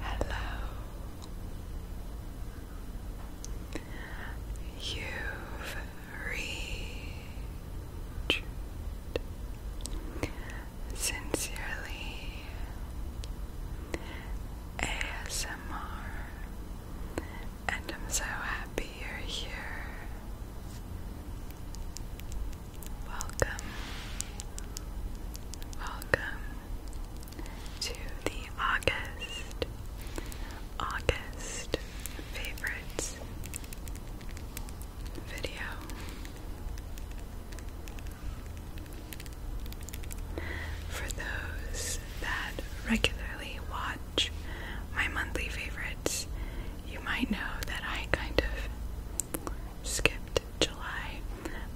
Hello. You've reached sincerely ASMR, and I'm so happy you're here. Welcome, welcome to the August, August favorites video. For those that regularly watch my monthly favorites, you might know that I kind of skip July.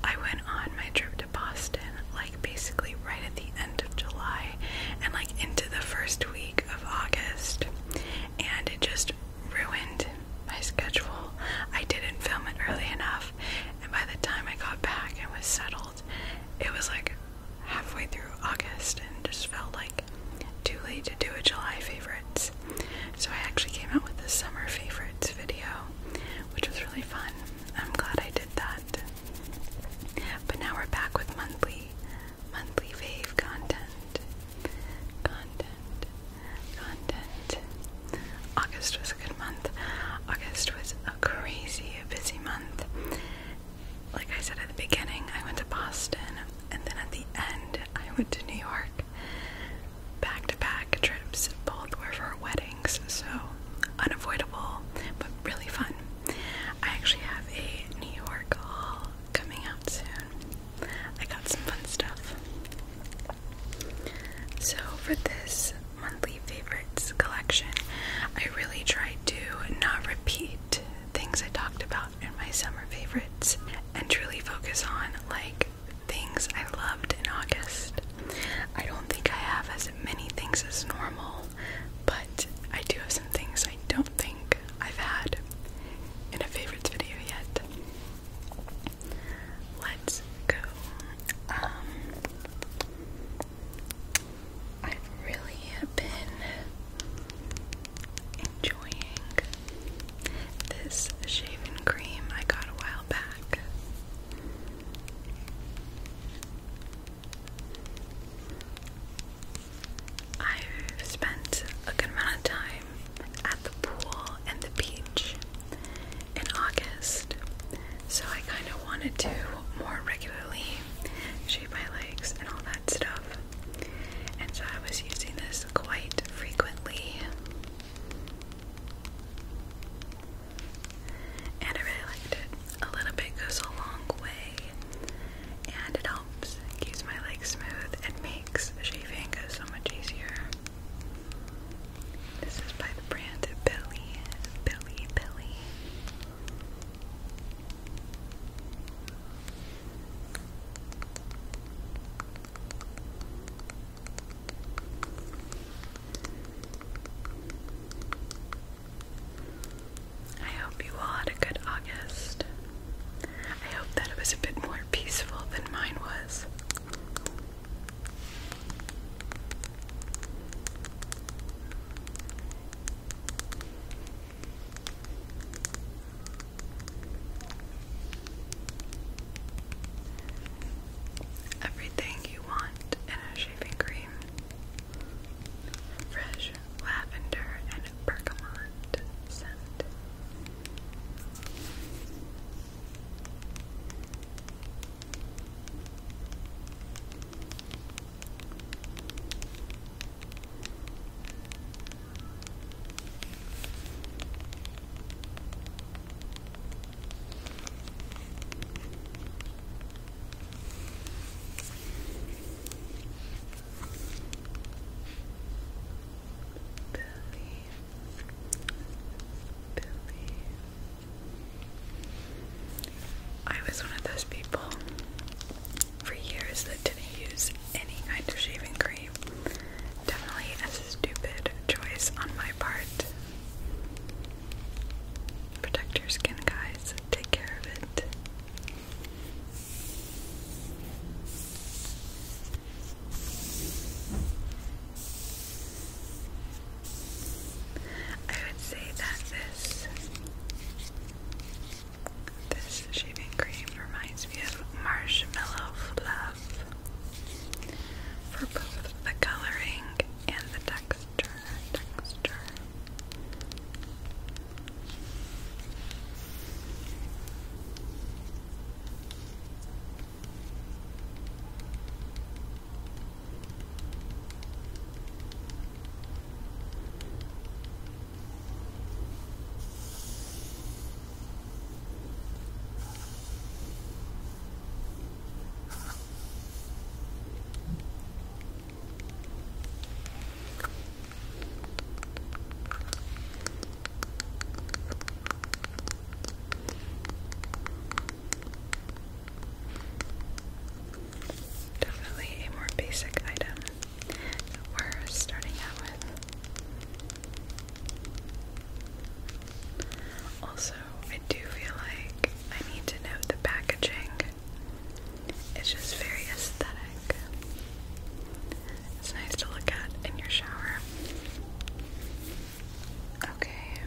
I went on my trip to Boston, like basically right at the end of July and like into the first week of August, and it just ruined my schedule. I didn't film it early enough, and by the time I got back and was settled, it was like halfway through August and just felt like too late to do a July favorite. So I actually came out with the summer favorites video, which was really fun. I'm glad I did that. But now we're back with monthly, monthly fave content. Content. Content. August was a good month. August was a crazy busy month. Like I said at the beginning, I went to Boston and then at the end I went to New York. Back to back trips, both were for weddings, so unavoidable but really fun. I actually have a New York haul coming out soon. I got some fun stuff. So, for this monthly favorites collection, I really tried to not repeat things I talked about in my summer favorites and truly focus on like things I loved in August. I don't think I have as many things as normal, but I do have some things I don't think I've had in a favorites video yet. Let's go. Um, I've really been enjoying this shaving cream I got a while back. I've spent a good amount of time at the pool and the beach in August, so I kind of wanted to more regularly shave my legs and all that stuff. And so I was using this quite frequently. And I really liked it. A little bit goes a long way, and it helps keep my legs smooth and makes shaving so much easier. This is by the brand Billy, Billy, Billy. I hope you all had a good August. I hope that it was a bit more peaceful than mine was. Everything you want in a shaving cream. Fresh lavender and bergamot scent. Billy, Billy. I was one of those people for years that didn't use any kind of shaving cream. Definitely a stupid choice on my part. Protect your skin, guys. Take care of it. I would say that this this shaving cream reminds me of marshmallow fluff enough for both the coloring and the texture. Definitely a more basic item. that We're starting out with also, I do feel like I need to note the packaging. It's just very aesthetic. It's nice to look at in your shower. Okay.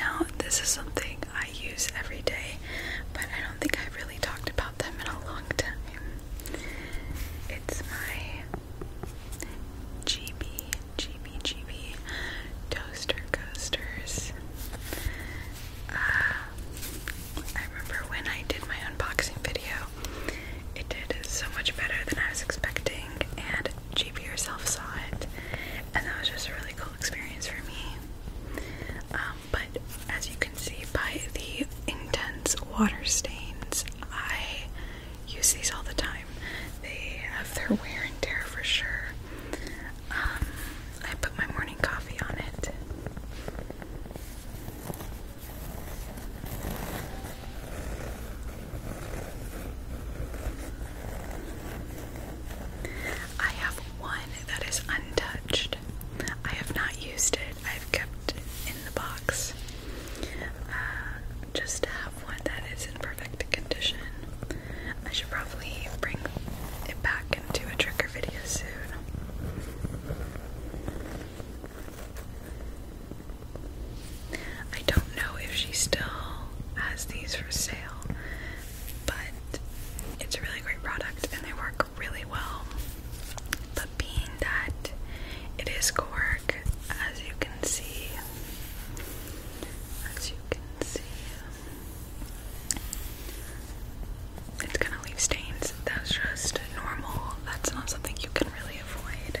Now, this is something I use every day, but I don't think I have really talked about them in a long time. It's my GB, GB, GB, Toaster Coasters. Uh, I remember when I did my unboxing video, it did so much better than I was expecting, and GB herself saw it, and that was just a really cool experience for me. Um, but as you can see by the intense water stains, I use these all the time. They have their wear and tear for sure. Um, I put my morning coffee on it. I have one that is untouched. I have not used it. I've kept in the box. Uh, just have one that is in perfect condition. I should probably bring it back and do a trigger video soon. I don't know if she still has these for sale, but it's a really great product and they work really well. But being that it is cork, as you can see, as you can see, it's gonna leave stains. That's just normal. That's not something you can really avoid.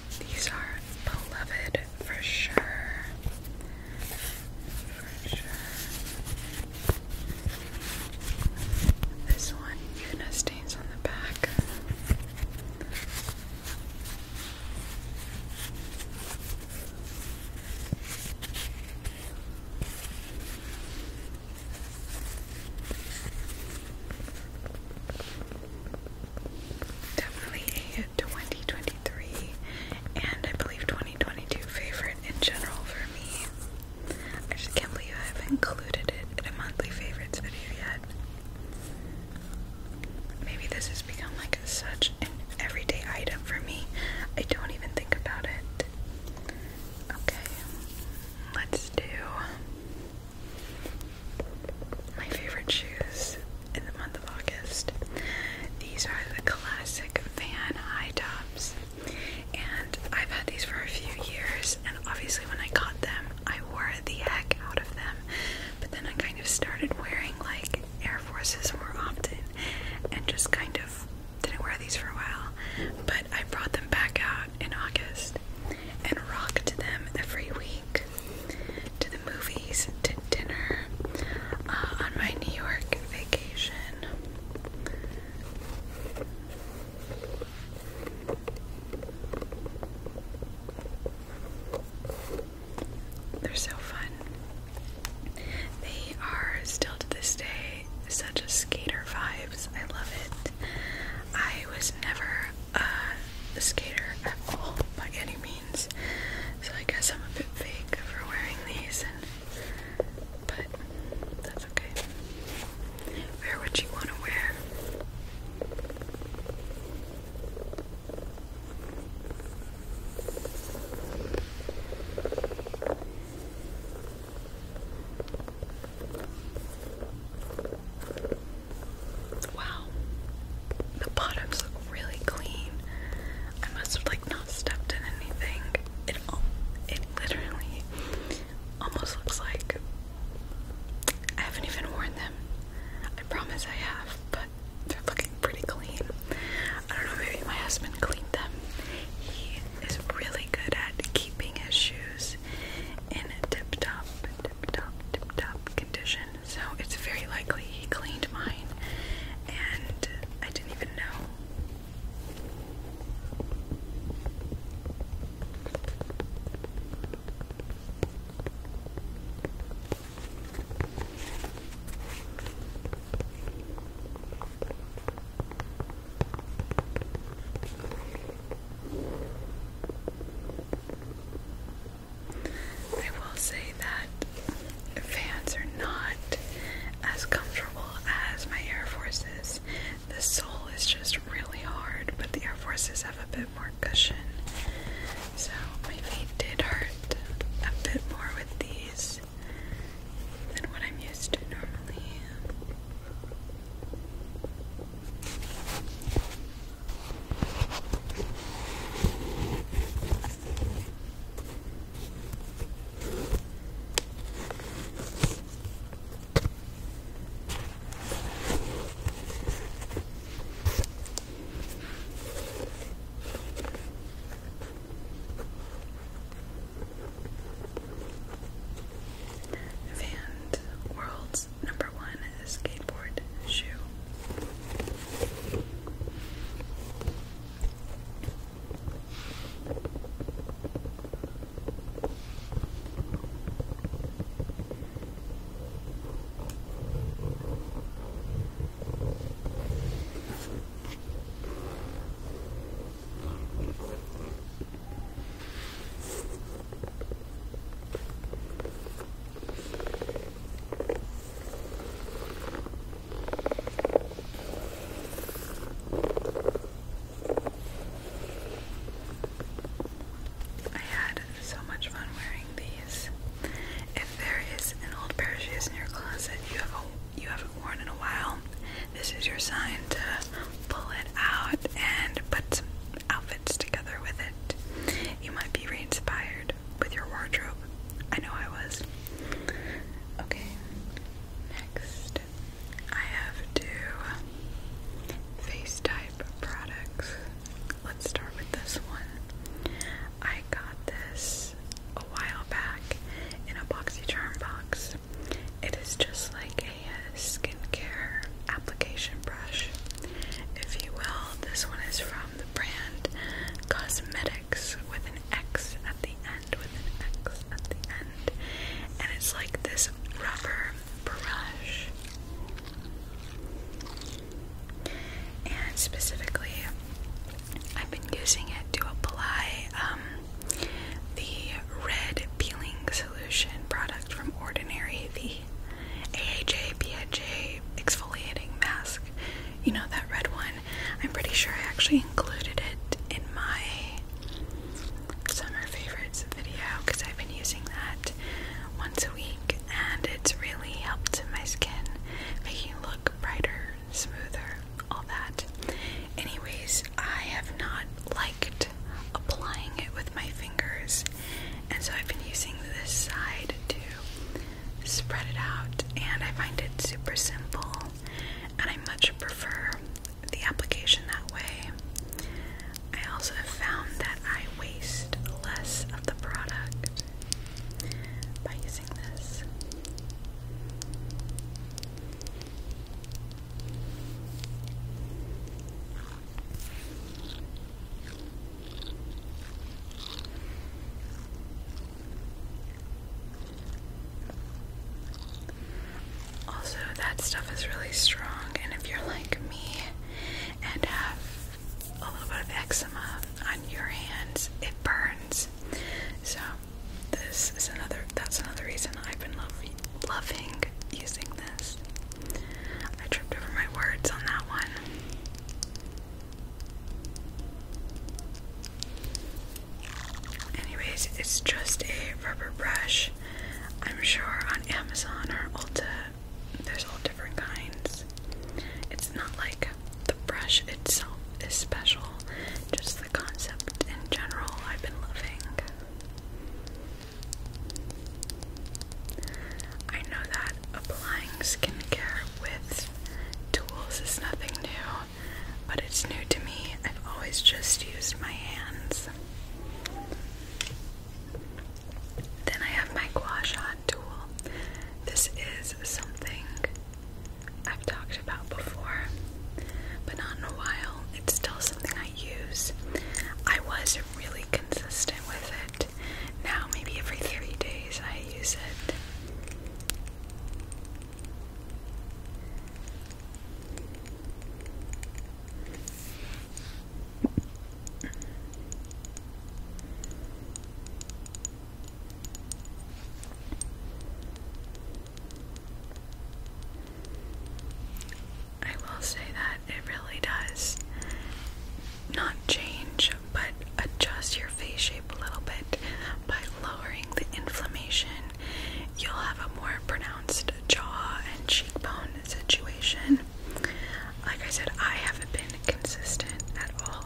These are beloved for sure. For sure. This one, even stains on the back. Definitely a 2023 and I believe 2022 favorite in general for me. I just can't believe I haven't included it in a monthly favorites video yet. Maybe this has become like such an everyday item for me. I don't even think about it. Okay, let's do my favorite shoes in the month of August. These are the classic Van high tops. And I've had these for a few years, and obviously, when I got them, I wore the heck out of them. But then I kind of started wearing like Air Forces more often and just kind of didn't wear these for a while. But I brought them back out in August and rocked them every week to the movies, to dinner, uh, on my New York vacation. They're so fun. They are still to this day such a skater vibes. I love it. I was never uh, a skater at all by any means, so I guess I'm a bit fake for wearing these, but that's okay. Wear what you want to wear. Wow. The bottoms look really clean. I must have like not stepped in anything. It it literally almost looks like I haven't even worn them. I promise I have, but they're looking pretty clean. I don't know, maybe my husband cleaned them. He is really good at keeping his shoes in a tip-top, tip-top, tip-top condition so it's very likely he cleaned mine and I didn't even know. I will say that fans are not as comfortable as my Air Forces. The sole is just really hard, but the Air Forces have a bit more cushion. So my feet did hurt a bit more with these than what I'm used to normally. And World number one skateboard shoe. I had so much fun wearing these. If there is an old pair of shoes in your closet you have you haven't worn in a while, this is your sign to pull it out and put some outfit together with it. You might be re-inspired with your wardrobe. I know I was. Okay, next I have two face type products. Let's start with this one. I got this a while back in a BoxyCharm box. It is just like a skincare application brush if you will. This one is from the brand Cosmetics with an X at the end, with an X at the end. And it's like this rubber brush. And specifically, I've been using it to apply um, the red peeling solution product from Ordinary, V. AHA BHA exfoliating mask. You know that red one? I'm pretty sure I actually included it in my summer favorites video because I've been using that once a week and it's really helped my skin, making it look brighter, smoother, all that. Anyways, I have not liked applying it with my fingers and so I've been using this side to spread it out, and I find it super simple, and I much prefer the application that way. I also have found that I waste less of the product by using this. Also, that stuff is really strong, and if you're like me and have a little bit of eczema on your hands, it burns. So, this is another that's another reason I've been loving using this. I tripped over my words on that one. Anyways, it's just a rubber brush. I'm sure on Amazon or Ulta there's all different kinds. It's not like the brush itself is special, just the concept in general I've been loving. I know that applying skincare with tools is nothing new, but it's new to me. I've always just used my hands. Then I have my gua sha tool. This is something I've talked about before, but not in a while. It's still something I use. I was really consistent with it now, maybe every three days I use it. I will say that it really does not change but adjust your face shape a little bit by lowering the inflammation, you'll have a more pronounced jaw and cheekbone situation. Like I said, I haven't been consistent at all,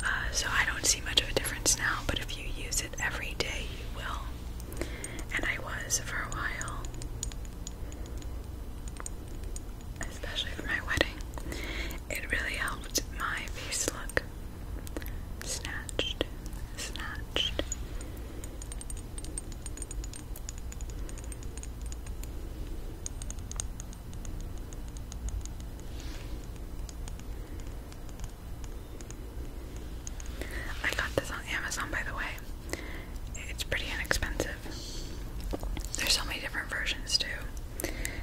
uh, so I don't see much of a difference now. But if you use it every day, you will. And I was for a while especially for my wedding. It really helped my face look snatched, snatched. I got this on Amazon by the way. It's pretty inexpensive. There's so many different versions too.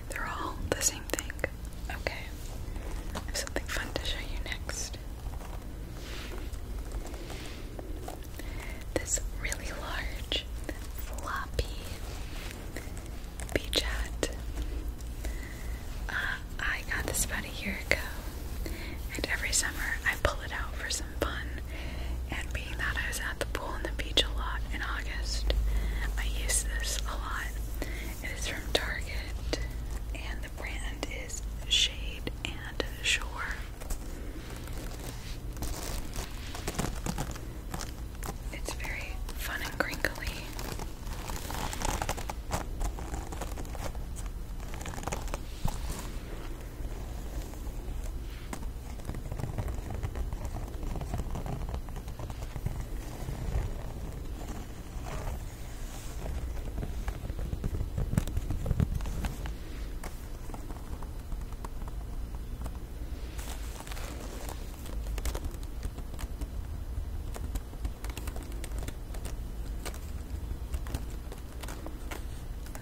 They're all the same thing. Okay. I have something fun to show you next. This really large, floppy beach hat. Uh, I got this about a year ago, and every summer I pull it out for some fun. And being that I was at the pool and the beach a lot in August, I use this a lot. It is from Target, and the brand is Shade and Shore. It's very fun and crinkly.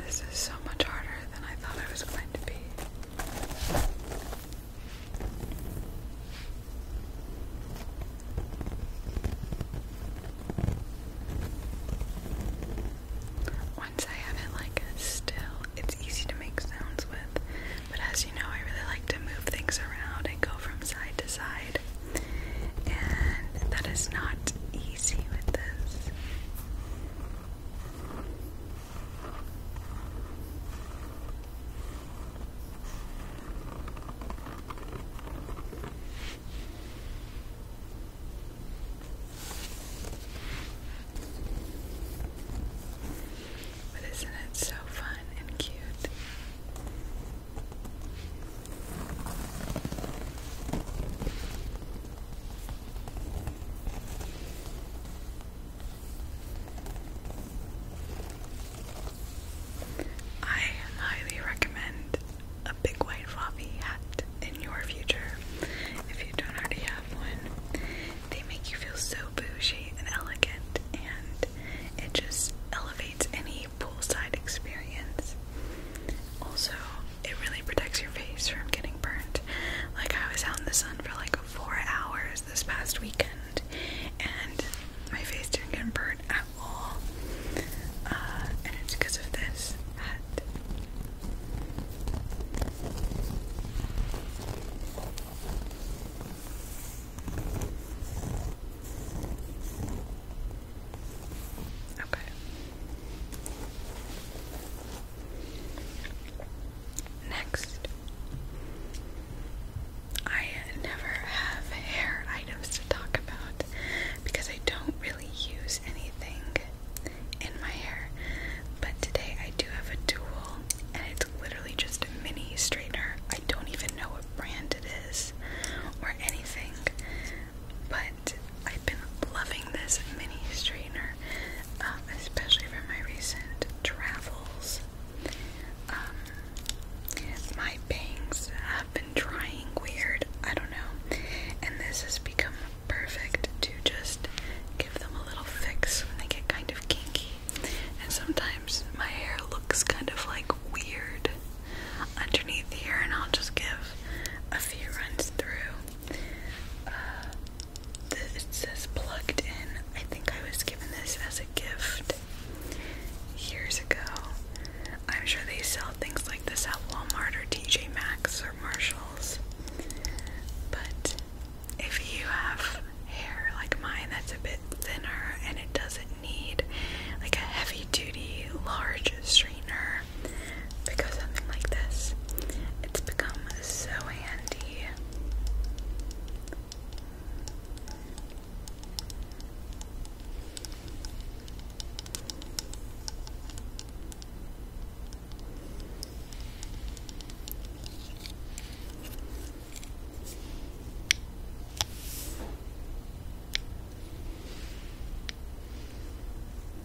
This is so much harder than I thought I was going to be. Once I have it like still, it's easy to make sounds with, but as you know, I really like to move things around and go from side to side, and that is not easy with this. But isn't it so fun and cute? I highly recommend a big white floppy hat in your future if you don't already have one. They make you feel so bougie and elegant, and it just elevates any poolside experience. Also, it really protects your face from getting burnt. Like I was out in the sun for like four hours this past weekend, and my face didn't get burnt at all. Uh, and it's because of this hat. Okay. Next, I never have hair items to talk about because I don't really use anything in my hair. But today I do have a tool, and it's literally just a mini straightener. I don't even know what brand it is or anything, but I've been loving this mini straightener um, especially from my recent travels. Um, my bangs have been drying weird, I don't know, and this has become perfect to just give them a little fix when they get kind of kinky. And sometimes my hair looks kind of like weird underneath here, and I'll just give a few runs through. Uh, it says plugged in. I think I was given this as a gift years ago. I'm sure they sell things like this at Walmart or TJ Maxx or Marshalls. But if you have hair like mine that's a bit thinner and it doesn't need like a heavy duty large strainer because something like this, it's become so handy.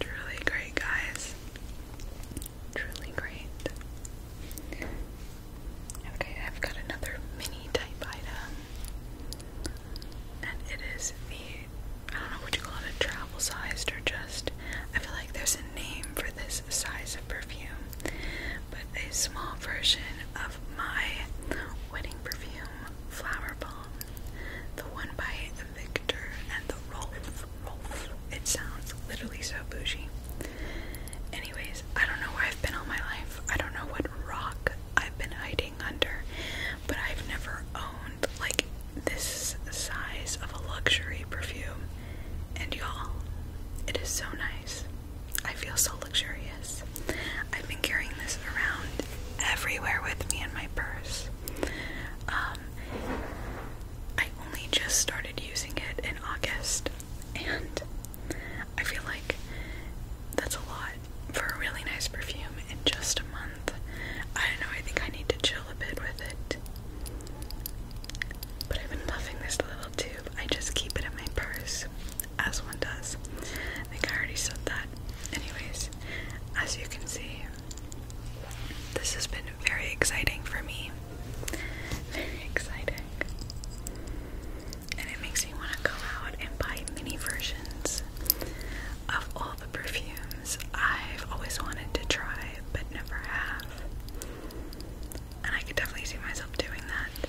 Truly great, guys. Truly great. Okay, I've got another mini type item. And it is the, I don't know what you call it, a travel sized or just, I feel like there's a name for this size of perfume, but a small version my wedding perfume flower the one by Victor and the Rolf. Rolf. It sounds literally so bougie. Anyways, I don't know where I've been all my life. I don't know what rock I've been hiding under, but I've never owned like this size of a luxury perfume. And y'all, it is so nice. I feel so luxurious. I've been carrying this around everywhere with me in my purse. Um, I only just started using it in August, and I feel like that's a lot for a really nice perfume in just a month. I don't know, I think I need to chill a bit with it. But I've been loving this little tube. I just keep it in my purse as one does. I think I already said that. Anyways, as you can see, this has been very exciting for me. Very exciting. And it makes me want to go out and buy mini versions of all the perfumes I've always wanted to try but never have. And I can definitely see myself doing that.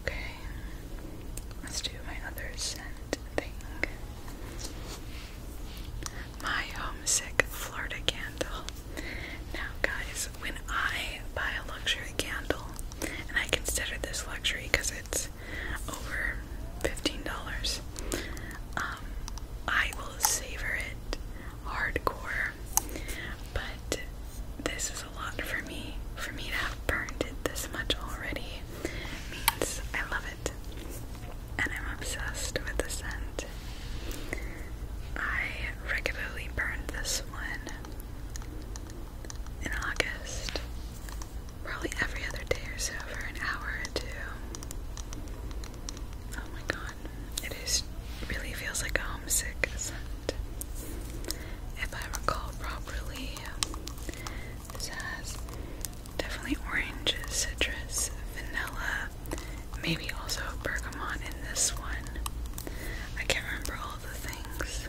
Okay, let's do my other scent thing. My homesick Florida candle. Now, guys, when I buy a luxury candle, and I consider this luxury because it's over $15, um, I will savor it hardcore. But this is a lot for me. For me to have burned it this much already means I love it and I'm obsessed with the scent. I regularly burn this one in August, probably every other day or so for an hour or two. Oh my god, it is really feels like a homesick scent. If I recall properly, this has Definitely orange, citrus, vanilla, maybe also bergamot in this one. I can't remember all the things.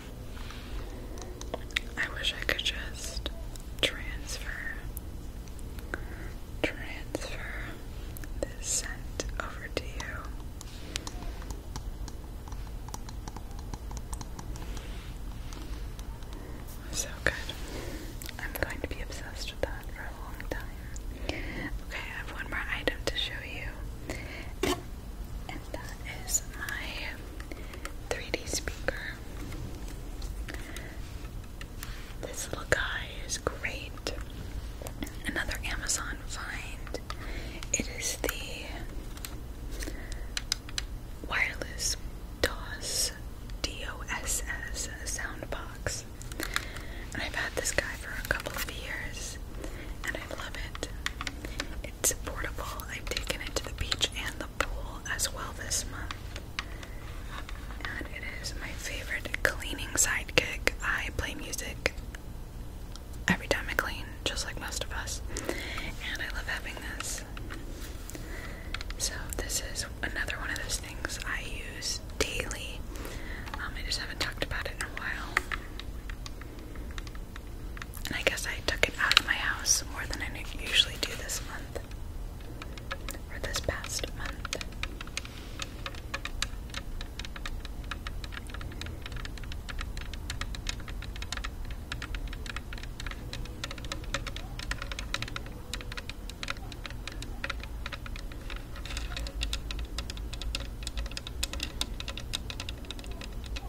I wish I could just transfer transfer this scent over to you. So good. I'm going to be obsessed with that for a long time. Okay, I have one more item to show you. And that is my 3D speaker. This little guy is great. Another Amazon find. It is the wireless DOS DOSS sound box. And I've had this guy for a couple of years and I love it. It's portable. I've taken it to the beach and the pool as well this month. And it is my favorite cleaning sidekick. I play music every time I clean, just like most of us. And I love having this. So, this is another one of those things I use daily. Um, I just haven't talked about it in a while. And I guess I took it out of my house more than I usually do this month. Or this past month.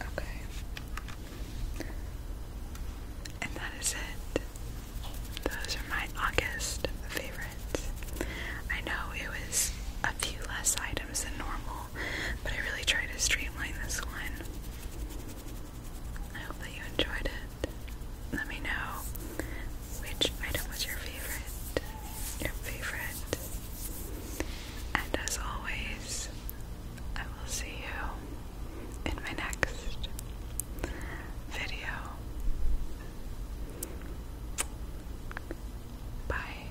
Okay. And that is it. Those are my August favorites. I know it was a few less items than normal, but I really try to streamline this one. I hope that you enjoyed it. Let me know which item was your favorite. Your favorite. And as always, I will see you in my next video. Bye.